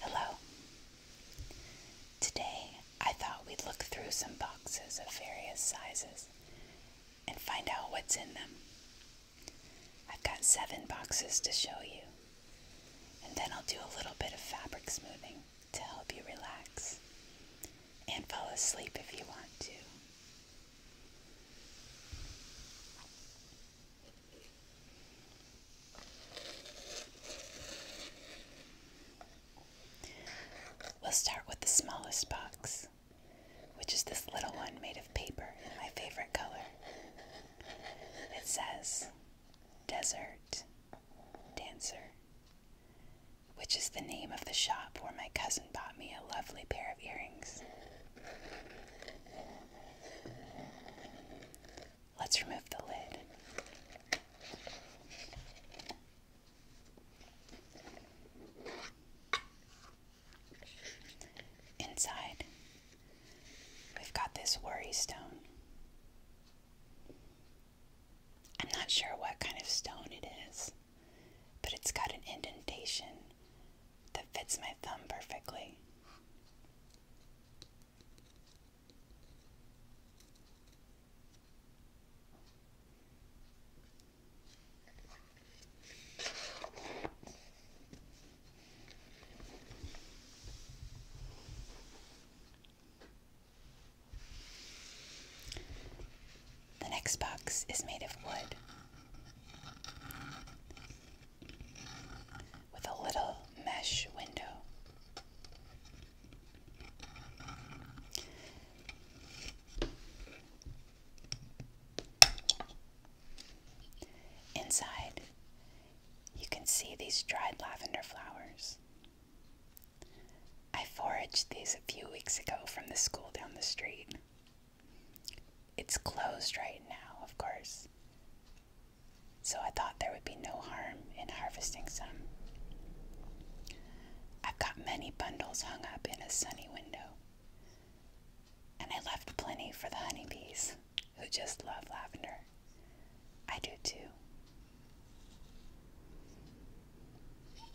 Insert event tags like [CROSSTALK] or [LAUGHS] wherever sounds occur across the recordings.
Hello. Today I thought we'd look through some boxes of various sizes and find out what's in them. I've got seven boxes to show you, and then I'll do a little bit of fabric smoothing to help you relax and fall asleep if you want to. We'll start with the smallest box, which is this little one made of paper, in my favorite color. It says Desert Dancer which is the name of the shop where my cousin bought me a lovely pair of earrings. Let's remove the lid. Inside, we've got this worry stone. I'm not sure what kind of stone it is but it's got an indentation that fits my thumb perfectly. The next box is made of wood with a little mesh window. Inside, you can see these dried lavender flowers I foraged these a few weeks ago from the school down the street. It's closed right now, of course, so I thought there would be no harm in harvesting some. I've got many bundles hung up in a sunny window, and I left plenty for the honeybees who just love lavender. I do too.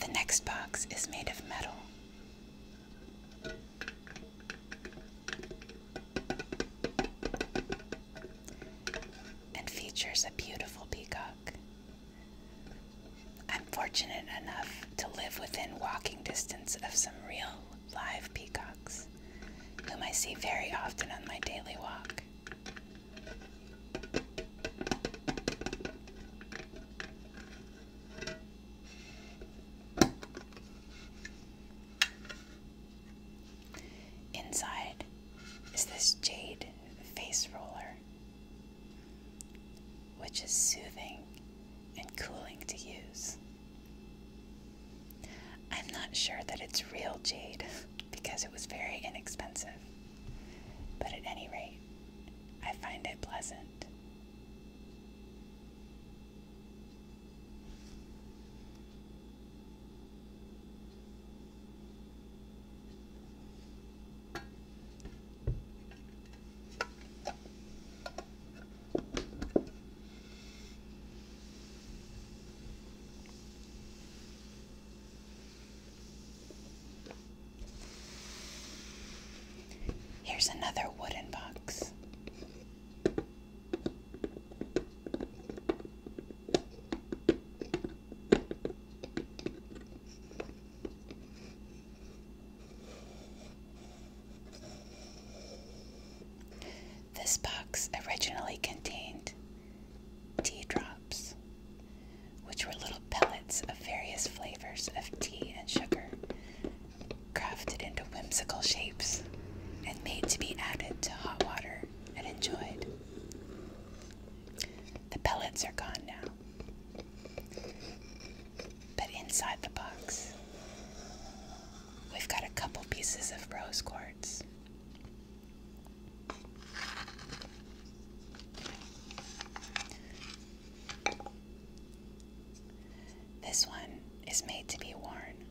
The next box is made of metal. And features a beautiful peacock. I'm fortunate enough to live within walking distance of some real live peacocks whom I see very often on my daily walk. Inside is this jade face roller, which is soothing and cooling to use. I'm not sure that it's real jade [LAUGHS] because it was very inexpensive, but at any rate, I find it pleasant. Here's another wooden box. This box originally contained tea drops, which were little pellets of various flavors of tea and sugar, crafted into whimsical shapes and made to be added to hot water and enjoyed. The pellets are gone now, but inside the box We've got a couple pieces of rose quartz. This one is made to be worn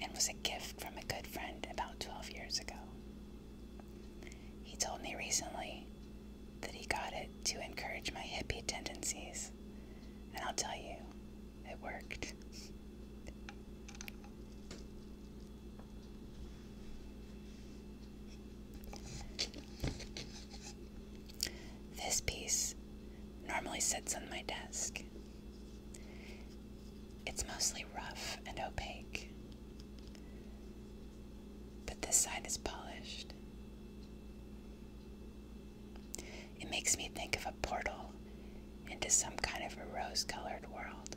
and was a gift from a good friend about 12 years ago. He told me recently that he got it to encourage my hippie tendencies and I'll tell you, it worked. This piece normally sits on my desk. It's mostly rough and opaque, but this side is polished. It makes me think of a portal into some kind of a rose colored world.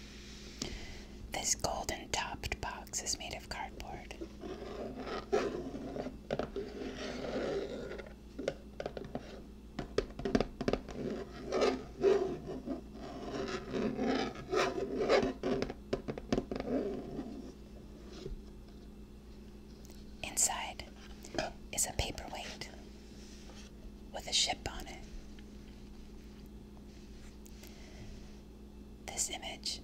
This golden topped box is made of cardboard. Inside is a paperweight with a ship on it. This image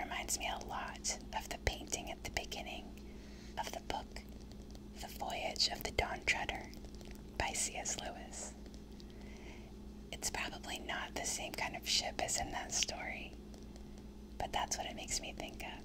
reminds me a lot of the painting at the beginning of the book, The Voyage of the Dawn Treader by C.S. Lewis. It's probably not the same kind of ship as in that story, but that's what it makes me think of.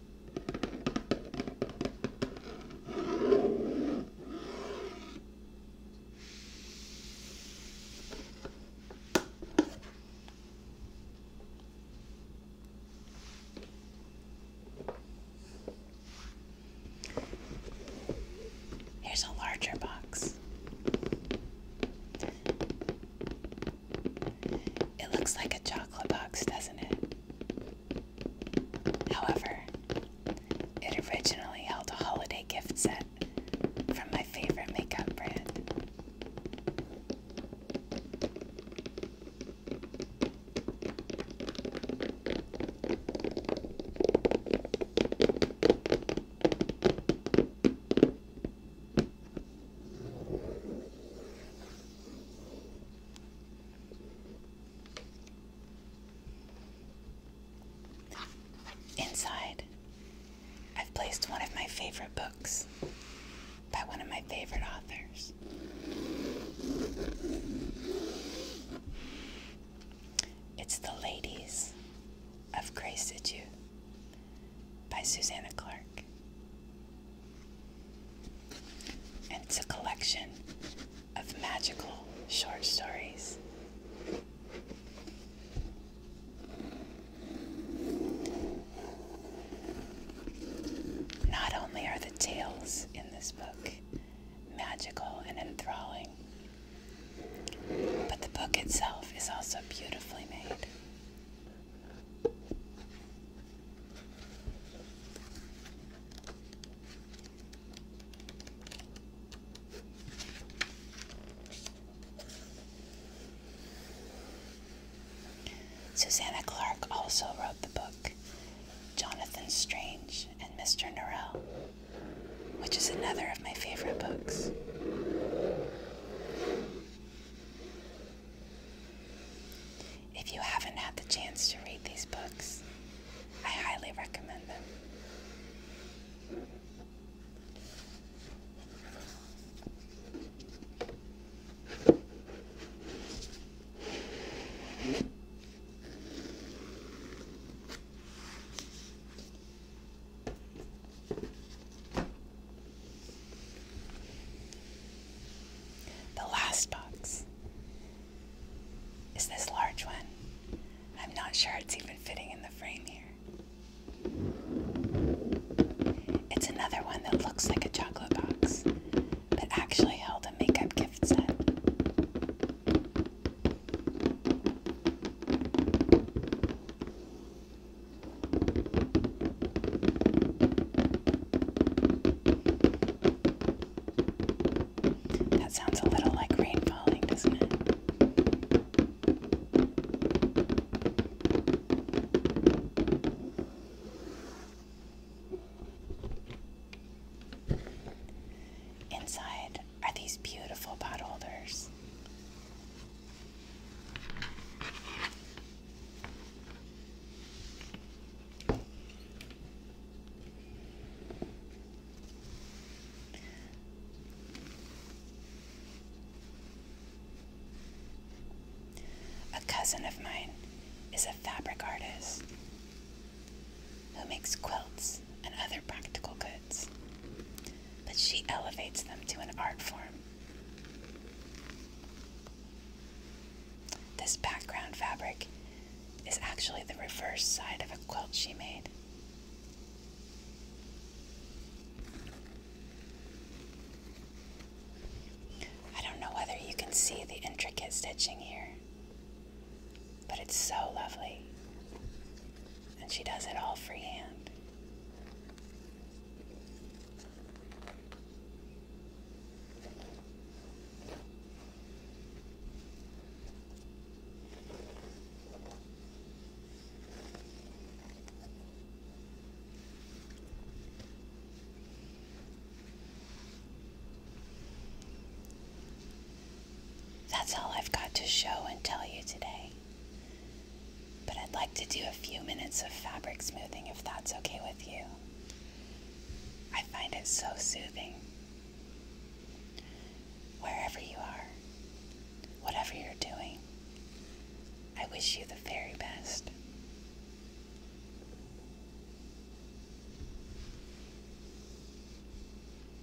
Here's a larger box. It looks like a chocolate box, doesn't it? However, it originally held a holiday gift set from my favorite makeup brand. Inside, I've placed one of my favorite books by one of my favorite authors. It's The Ladies of Grace* Grey you? by Susanna Clark. And it's a collection of magical short stories. Not only are the tales in this book magical and enthralling, but the book itself is also beautifully made. Susanna Clark also wrote the book Jonathan Strange and Mr. Norrell, which is another of my favorite books. If you haven't had the chance to read these books, I highly recommend them. The last box is this large one. I'm not sure it's even fitting in the frame here. It's another one that looks like a chocolate box, but actually held a makeup gift set. That sounds a little like rain falling, doesn't it? Inside are these beautiful pot holders. A cousin of mine is a fabric artist who makes quilts and other practical goods, but she elevates them to an art form this background fabric is actually the reverse side of a quilt she made. I don't know whether you can see the intricate stitching here, but it's so lovely. And she does it all freehand. That's all I've got to show and tell you today. But I'd like to do a few minutes of fabric smoothing if that's okay with you. I find it so soothing. Wherever you are, whatever you're doing, I wish you the very best.